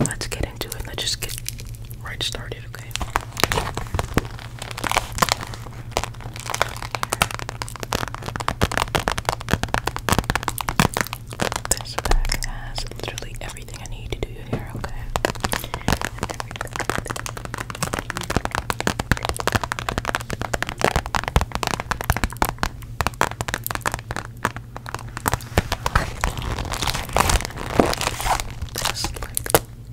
Let's get into it. Let's just get right started, okay? This bag has literally everything I need to do your hair, okay?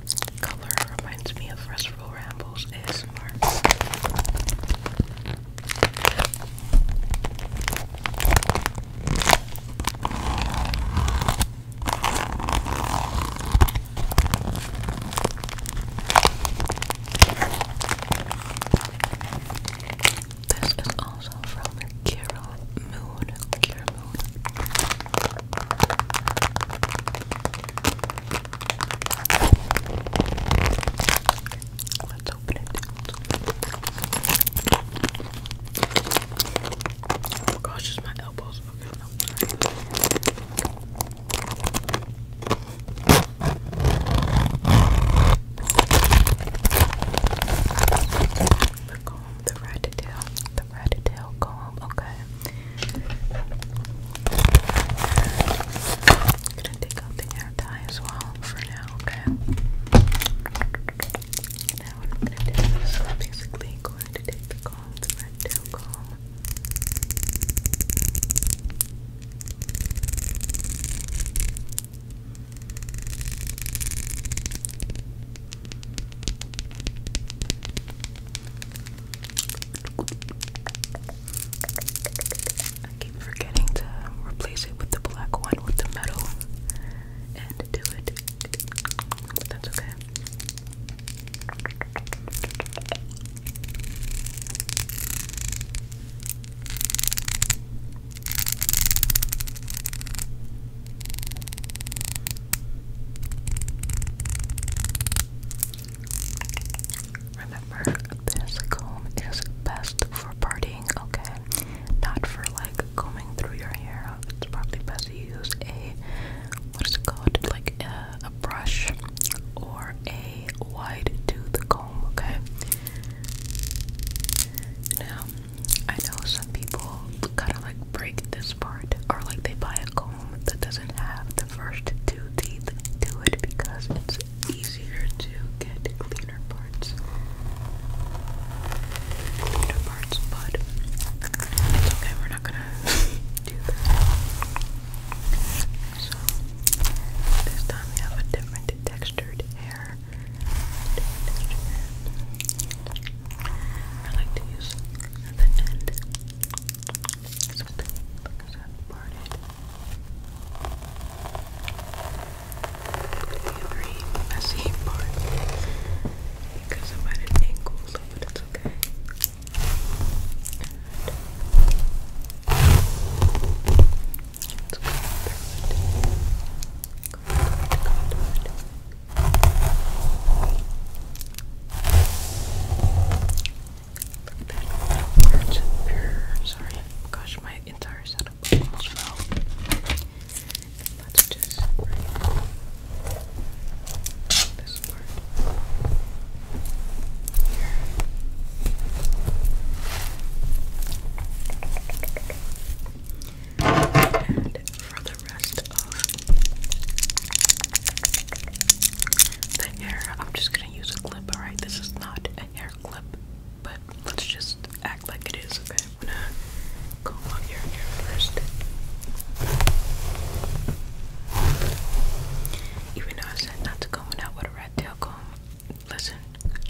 This like color reminds me of Restful Rambles ASMR. This is also from Kira Moon. Kira Moon. Let's open it. Oh gosh, it's my elbows. The comb, the red tail, the rat tail comb. Okay. gonna take out the hair tie as well for now. Okay. Now what I'm gonna do is basically going to take the comb, the red tail comb. I keep forgetting to replace it with the black one with the metal and do it. But that's okay. Remember, this comb is best for partying, okay? Not for like combing through your hair. It's probably best to use a what is it called? Like a, brush or a wide tooth comb, okay? Now, I know some people kind of like break this part, or like they buy a comb that doesn't have the first two teeth to it because it's easier to get cleaner parts. Cleaner parts, but it's okay, we're not gonna do that. So, this time we have a different textured hair. I like to use at the end. So the because I've parted. It'll be a very messy part because I'm at an angle, so but it's okay. And it's good. Look at that. It's pure. Sorry. Gosh, my entire setup almost fell. Let's just this part. Here. And for the rest of the hair, I'm just gonna use a clip, alright? This is not a hair clip, but let's just act like it is, okay? I'm gonna comb out your hair first. Even though I said not to comb it out with a rat tail comb, listen,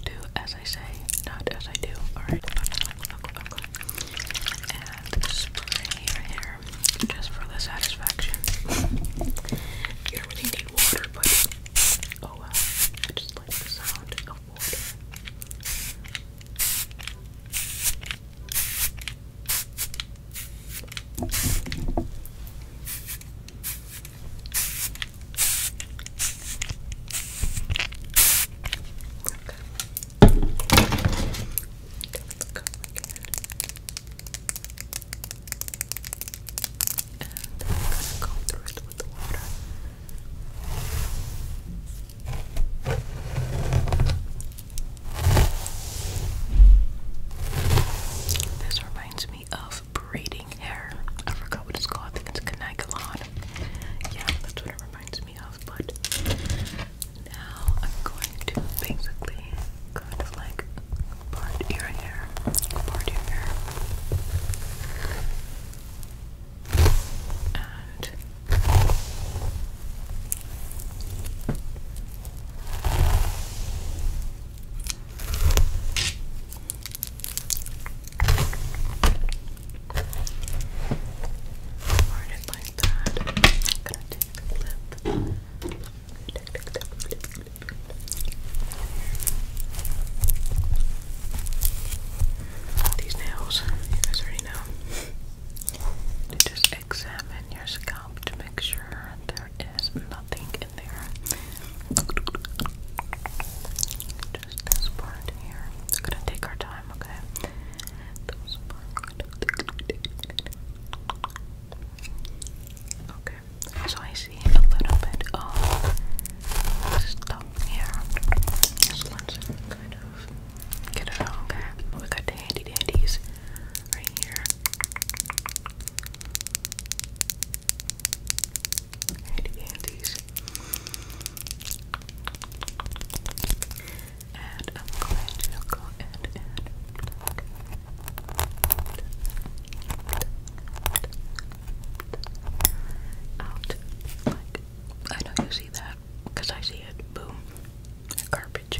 do as I say, not as I do. Alright, And spray your hair just for the satisfaction. You don't really need water, but oh well. I just like the sound of water going This reminds me of braiding hair. I forgot what it's called. I think it's Caniculon. Yeah, that's what it reminds me of, but now I'm going to basically kind of like part your hair, part your hair, and Burn it like that. I'm gonna take These nails, you guys already know. just examine your scalp to make sure there is nothing in there just this gonna take our time, okay? Okay, so I see a little bit of stuff here. So kind of get it out, okay? We got the handy dandies right here. Handy Candies. And I'm going to go ahead out. I know you see that because I see it. Boom. Garbage.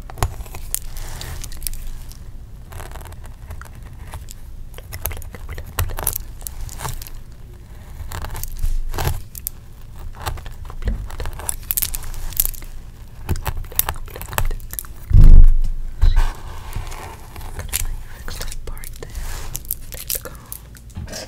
fix that part there. There we go.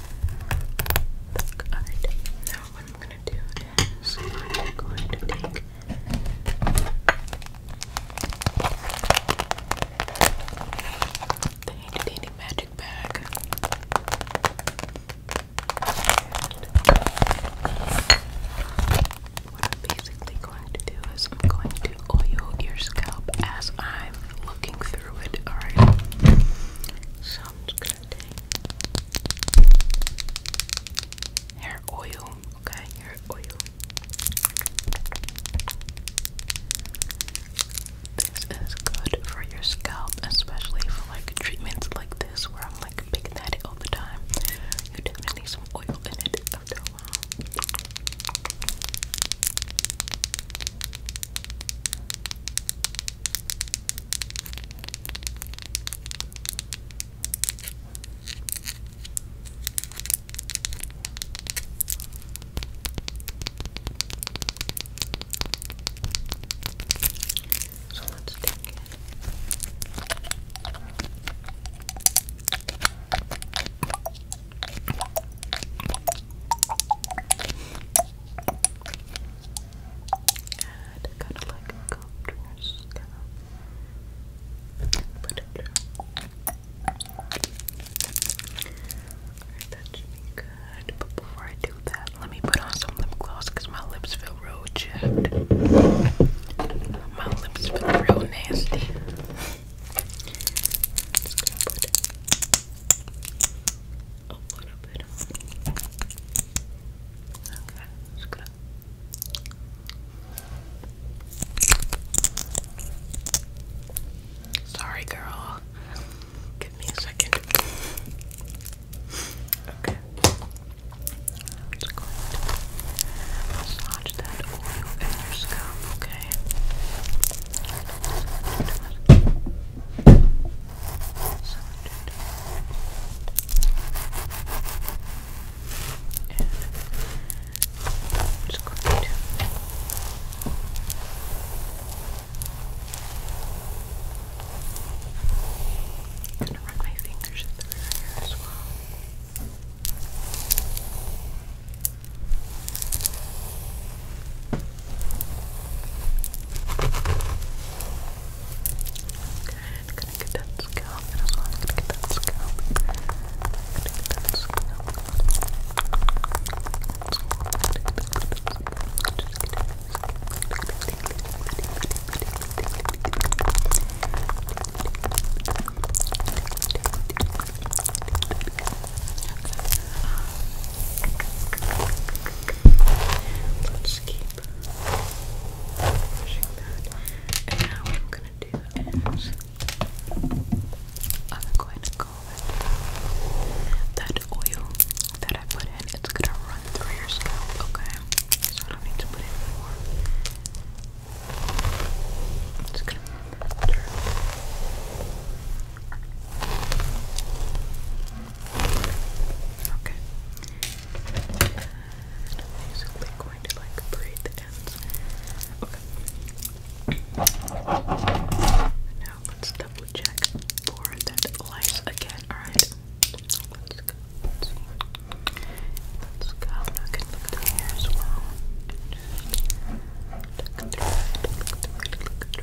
this Now what I'm gonna do is I'm going to take the handy magic bag. what I'm basically going to do is I'm going to oil your scalp as I'm looking through it, alright? So sound Hair oil, okay, hair oil. This is good for your scalp, especially for like treatments like this where I'm like picking at it all the time. You definitely need some oil in it so let's take it kind of like go up to your scalp and put that should be good. But before I do that, let me put on some lip gloss because my lips feel real jacked. My lips feel real nasty. Sorry, girl. Give me a second. Okay. i going to massage that oil in your scalp, okay? And i just going to i run my fingers through here as well. I'm gonna get that scalp as well. I'm gonna get that scalp. I'm gonna get that scalp. Okay. Let's keep pushing that. And now I'm gonna do is I'm going to go with uh, that oil that I put in. It's gonna run through your scalp, okay? So I don't need to put in more. It's gonna run through. Okay. And basically going to like braid the ends. Okay. Now let's double check for that lice again. Alright. Let's go. Let's go. Now I look down here as well.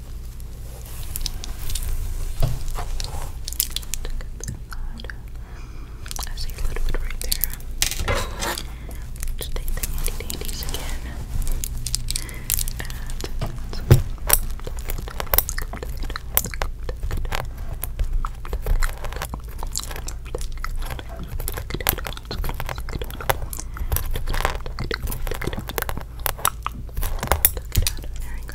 I see a little bit right there. Just take the handy dandies again. there we go.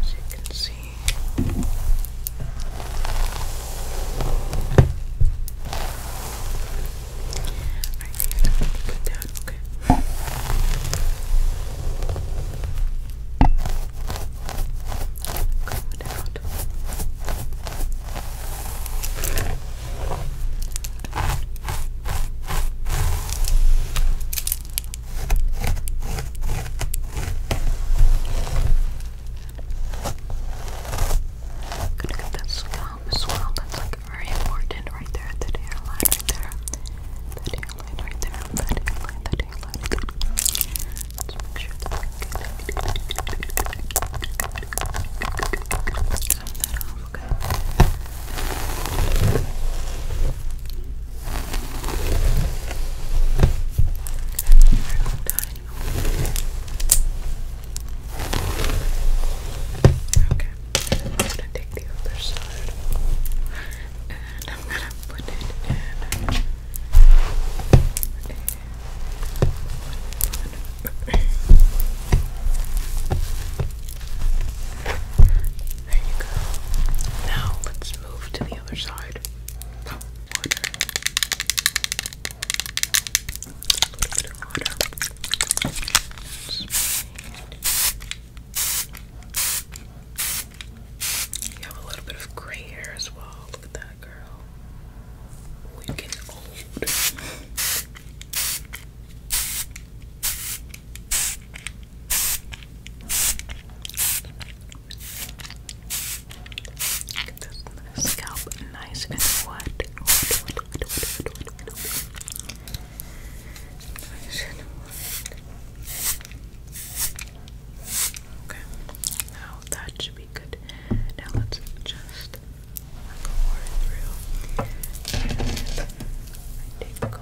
as you can see. Alright, put down, okay. Come out. Okay. I'm gonna get that scalp as That's like very important right there. That hairline right there. That hairline right there. That hairline, that hairline. Let's make sure we get that off, okay? Okay, I'm gonna take the other side and I'm gonna put it in a there you go. Now let's move to the other side. A little bit of water. You a little bit of gray hair as well. Look at that girl. Oh, you old scalp nice and wet. Okay, now that should be good. Now let's just go right through. And take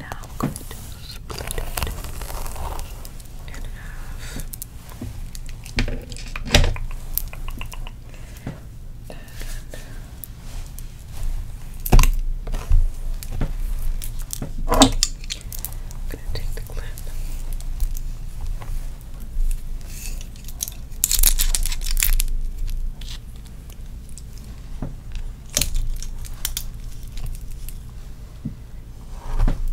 Now I'm going to split it in half. I'm going to take the clip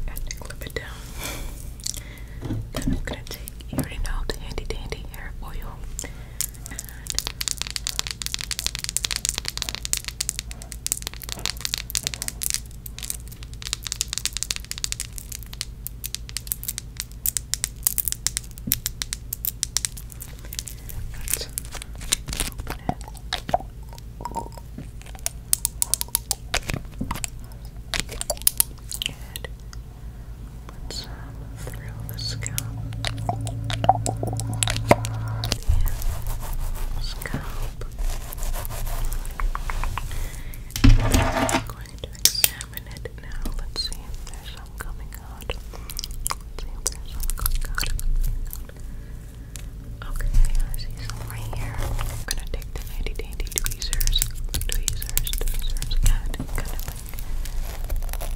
and clip it down. Then I'm gonna take, you already know, the handy dandy hair oil Let's open it. Good. Put some the scalp. And scalp. I'm going to examine it now. Let's see if there's some coming Okay, I see some here. gonna take the handy dandy tweezers, tweezers, tweezers, and kind of like go through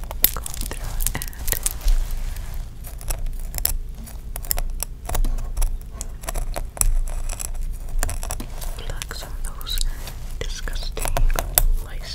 and Pluck some of those disgusting lice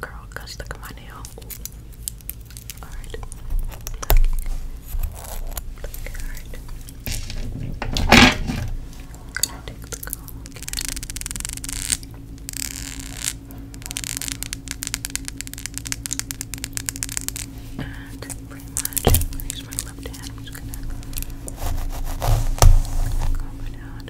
girl, I got stuck my nail. Alright. Alright. going the comb And pretty much, am gonna use my left hand. I'm just gonna comb it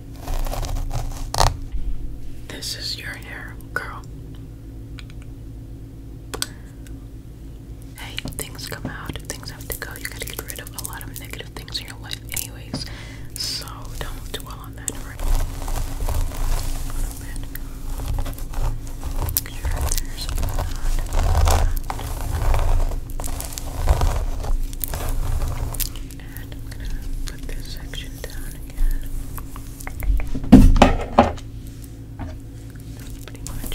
This is your hair, girl. Hey, things come out, things have to go. You gotta get rid of a lot of negative things in your life, anyways. So don't dwell on that and I'm going to put this section down again. That's pretty like that And I'm going to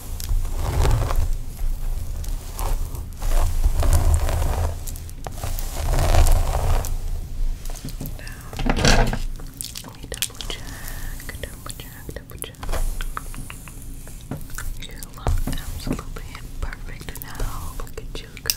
Now, let me double check, double check, double check. You look absolutely perfect now. Look at you, girl.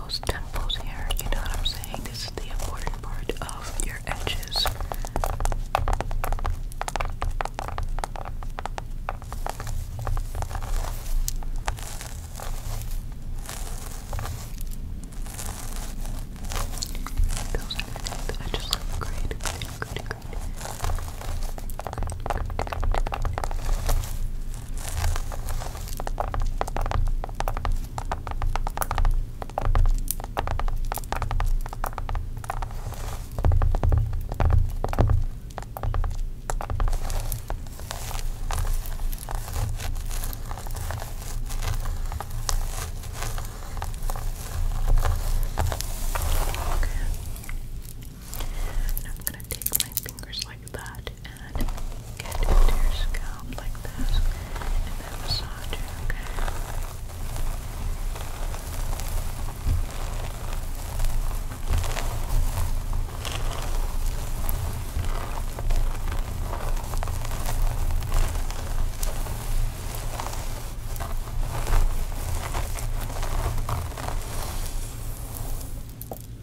those temples here, you know what I'm saying? This is the important part of your edges. Those edges look great, Okay. And I'm gonna take my fingers like that and get into your scalp like this and then massage it, Okay.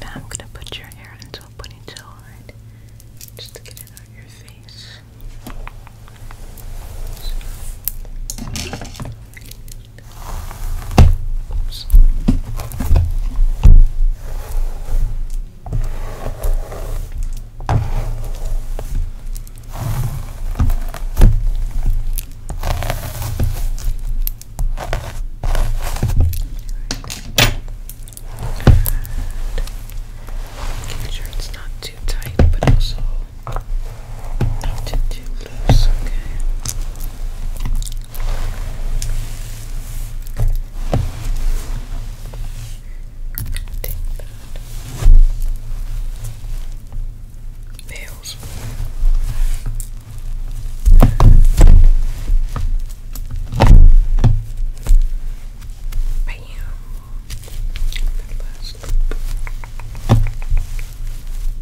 Now I'm going to put your hair into a ponytail, Just to get it on your face. Make sure it's not too tight, but also not too, too loose, okay? Take that nails. Bam.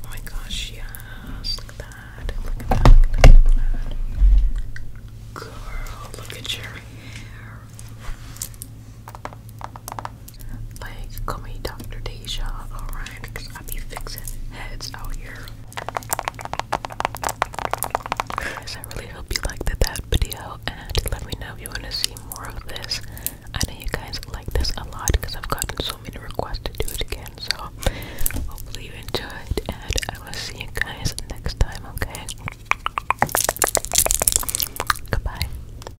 Oh my gosh, yes. Look at that. Look at that. Girl, look at your hair. Like, call me Dr. Deja, alright? I be fixing heads out here. Guys, I really hope you liked that video and let me know if you want to see more of this. I know you guys like this a lot because I've gotten so many requests to do it again. So, hopefully, you enjoyed and I will see you guys next time, okay? Goodbye.